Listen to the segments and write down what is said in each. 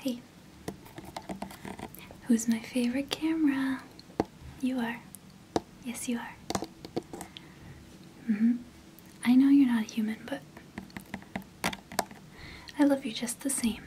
Hey, who's my favorite camera? You are. Yes, you are. hmm. I know you're not a human, but I love you just the same.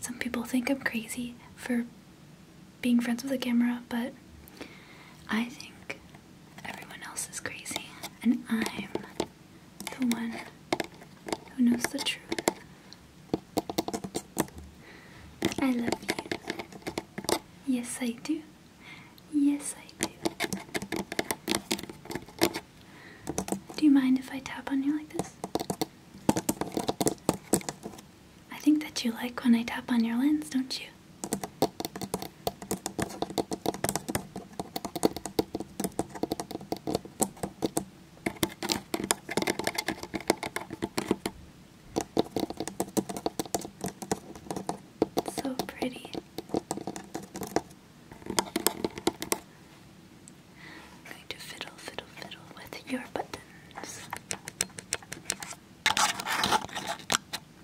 Some people think I'm crazy for being friends with a camera, but I think everyone else is crazy, and I'm the one who knows the truth. I love you. Yes, I do. Yes, I do. Do you mind if I tap on you like this? I think that you like when I tap on your lens, don't you? So pretty. I'm going to fiddle, fiddle, fiddle with your buttons.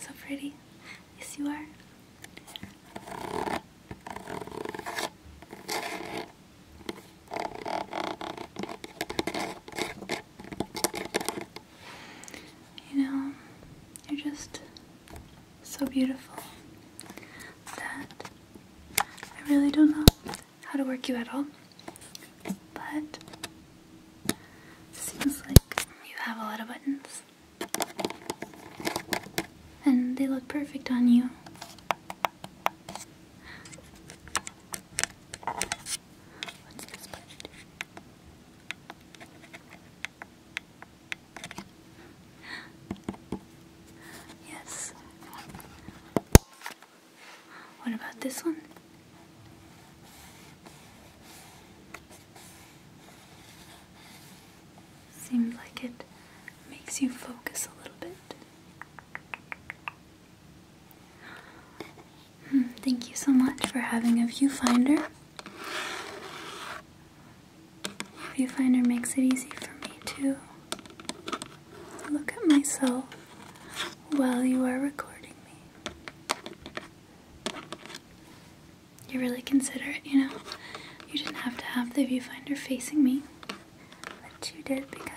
So pretty. Yes, you are. You know, you're just so beautiful that I really don't know how to work you at all. But seems like you have a lot of buttons. And they look perfect on you. Yes. What about this one? Seems like it makes you focus a little bit. Hmm, thank you so much for having a viewfinder. Viewfinder makes it easy for me to look at myself while you are recording me. You're really considerate, you know? You didn't have to have the viewfinder facing me, but you did because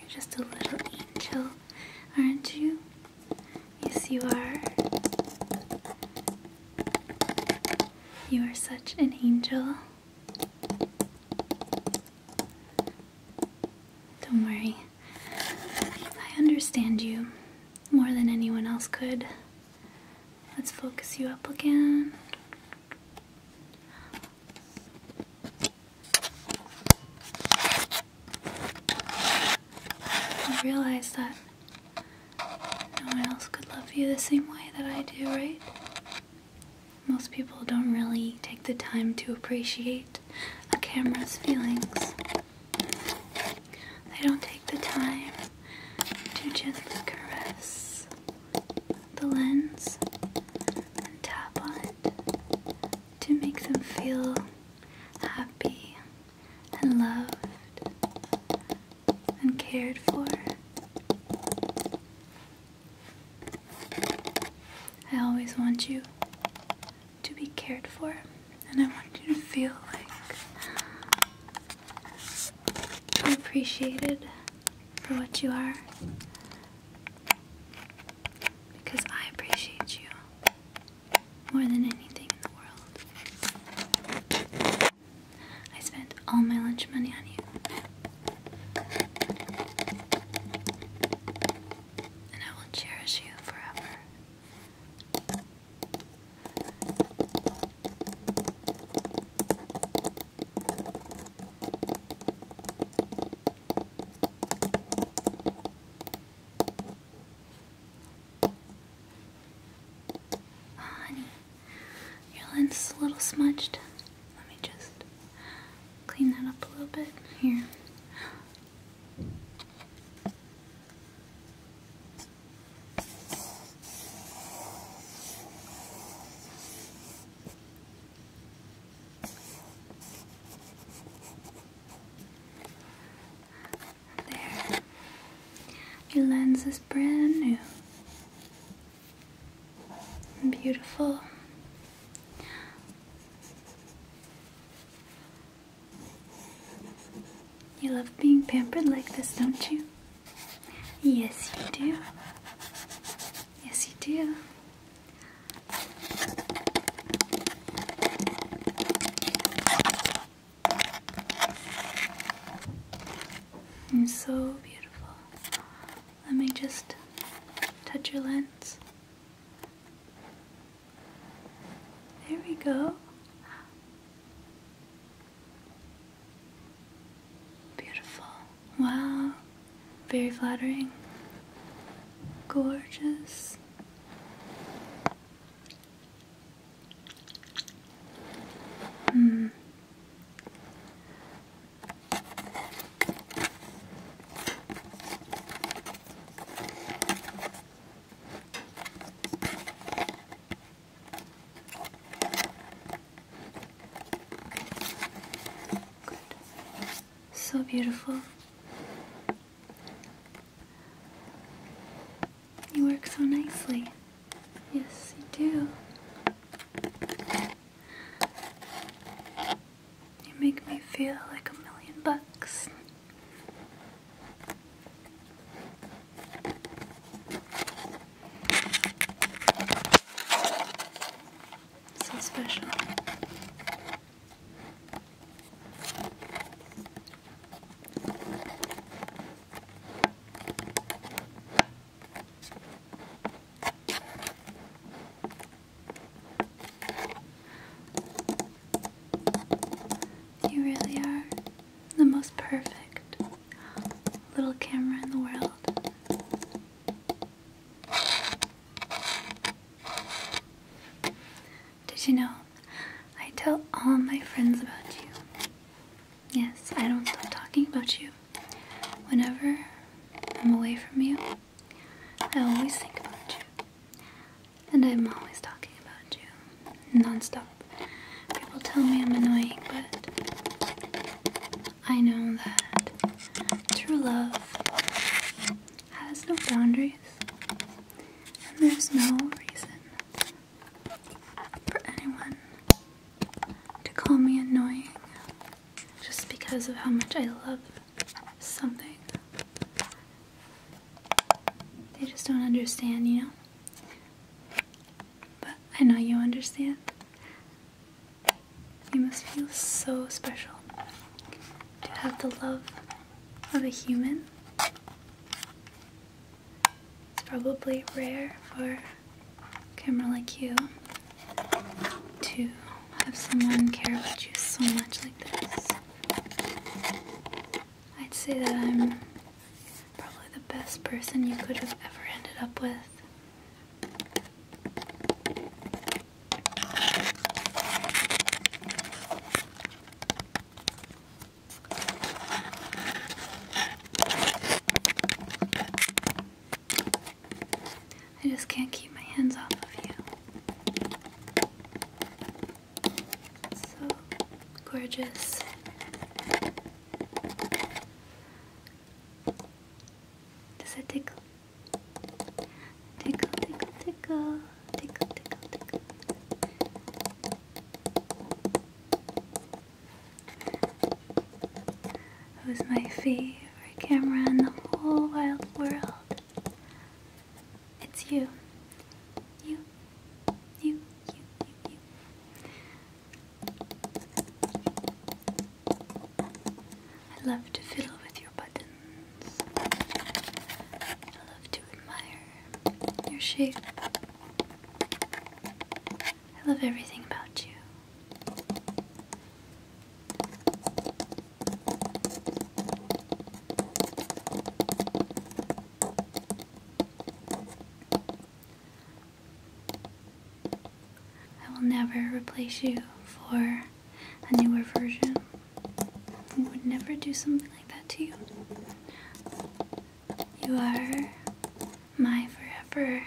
you're just a little angel, aren't you? Yes, you are. You are such an angel. Don't worry, I understand you more than anyone else could. Let's focus you up again. I realize that no one else could love you the same way that I do, right? Most people don't really take the time to appreciate a camera's feelings. They don't take the time to gently caress the lens and tap on it to make them feel happy and loved and cared for. I always want you to be cared for, and I want you to feel like you're appreciated for what you are because I appreciate you more than anything in the world. I spent all my lunch money on you. And I will cherish you forever honey, your lens is a little smudged. Let me just clean that up a little bit. Here. There. Your lens is brand new. Beautiful. You love being pampered like this, don't you? Yes, you do. Yes, you do. You're so beautiful. Let me just touch your lens. There we go. Beautiful. Wow. Very flattering. Gorgeous. Hmm. So beautiful. You work so nicely. Yes, you do. You make me feel like a million bucks. So special. You really are the most perfect little camera in the world. Did you know? I tell all my friends about you. Yes, I don't stop talking about you. Whenever I'm away from you, I always think about you. And I'm always talking about you. Non-stop. People tell me I'm annoying, but I know that true love has no boundaries. And there's no reason for anyone to call me annoying just because of how much I love something. They just don't understand, you know? But I know you understand. You must feel so special to have the love of a human. It's probably rare for camera like you to have someone care about you so much like this. I'd say that I'm probably the best person you could have ever ended up with. I just can't keep my hands off of you. So gorgeous. Does it tickle? Tickle, tickle, tickle, tickle, tickle, tickle who's my favorite camera in the whole wild world. It's you. You. You. You. You. you. I love to fiddle with your buttons. I love to admire your shape. I love everything about you. I will never replace you for a newer version. I would never do something like that to you. You are my forever.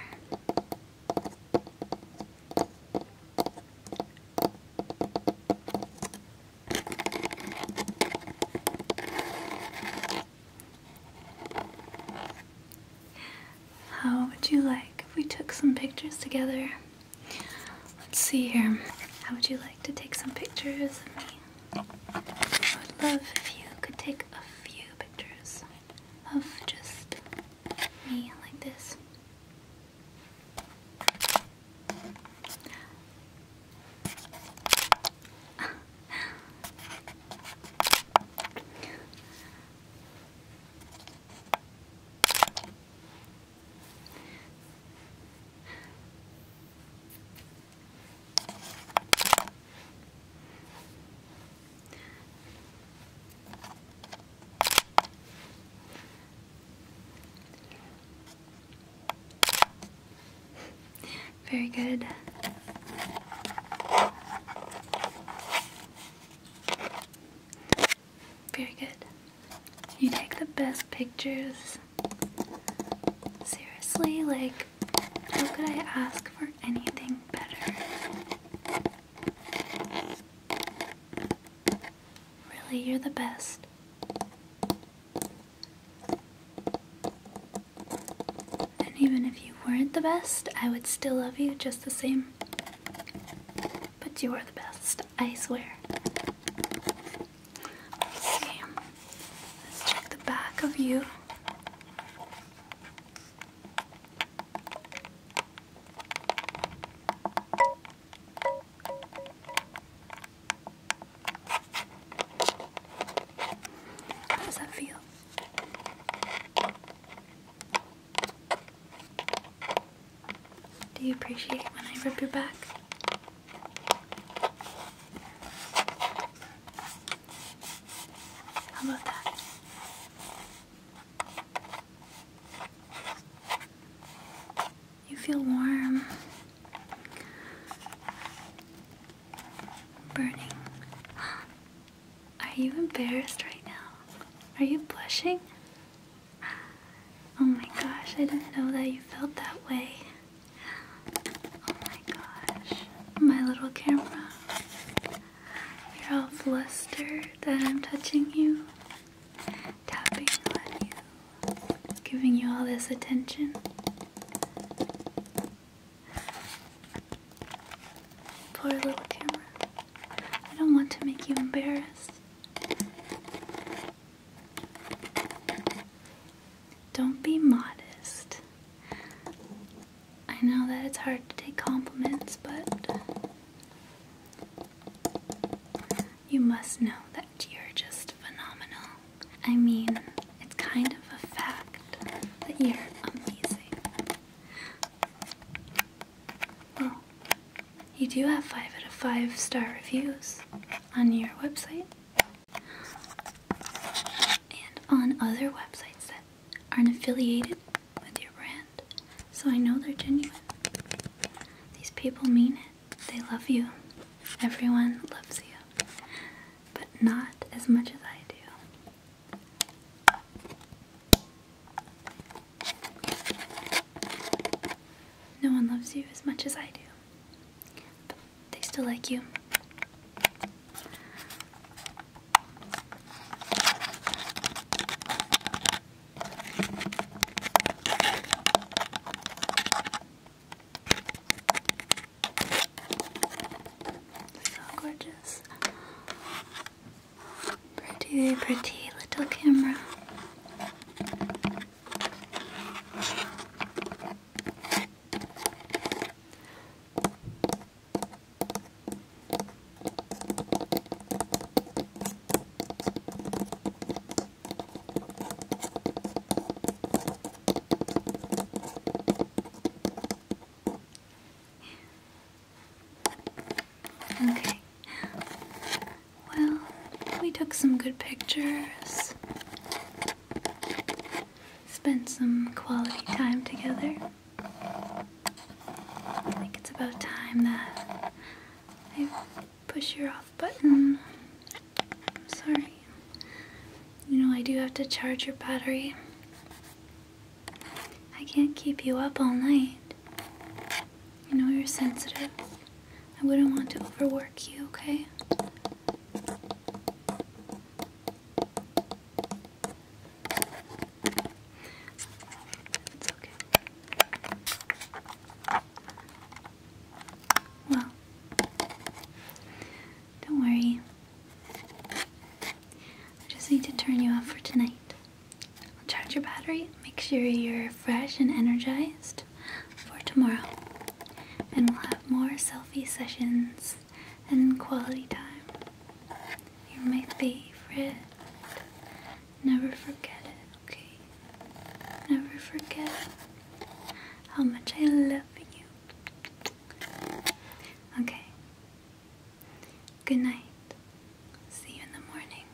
How would you like if we took some pictures together? Let's see here. How would you like to take some pictures of me? I would love if you could take a few pictures of just me like this. Very good. Very good. You take the best pictures. Seriously, like how could I ask for anything better? Really, you're the best. And even if you weren't the best, I would still love you just the same. But you are the best, I swear. Okay, let's check the back of you. How does that feel? Do you appreciate when I rub your back? How about that? You feel warm, burning. Are you embarrassed right now? Are you blushing? Oh my gosh, I didn't know that you felt that way. Oh my gosh, my little camera. You're all flustered that I'm touching you, tapping on you, giving you all this attention. Poor little camera. I don't want to make you embarrassed. Don't be modest. I know that it's hard to take compliments, but you must know that you're just phenomenal. I mean, it's kind of a fact that you're amazing. Well, you do have 5 out of 5 star reviews on your website and on other websites that aren't affiliated with your brand. So I know they're genuine. These people mean it. They love you. Everyone loves you. But not as much as I do. No one loves you as much as I do they still like you. So gorgeous. Pretty, pretty little camera. Okay. Well, we took some good pictures spend some quality time together. I think it's about time that I push your off button. I'm sorry. You know, I do have to charge your battery. I can't keep you up all night. You know, you're sensitive. I wouldn't want to overwork you, okay? It's okay. Well, don't worry. I just need to turn you off for tonight. I'll charge your battery, make sure you're fresh and energized for tomorrow and we'll have more selfie sessions and quality time. You're my favorite. Never forget it, okay? Never forget how much I love you. Okay. Good night. See you in the morning.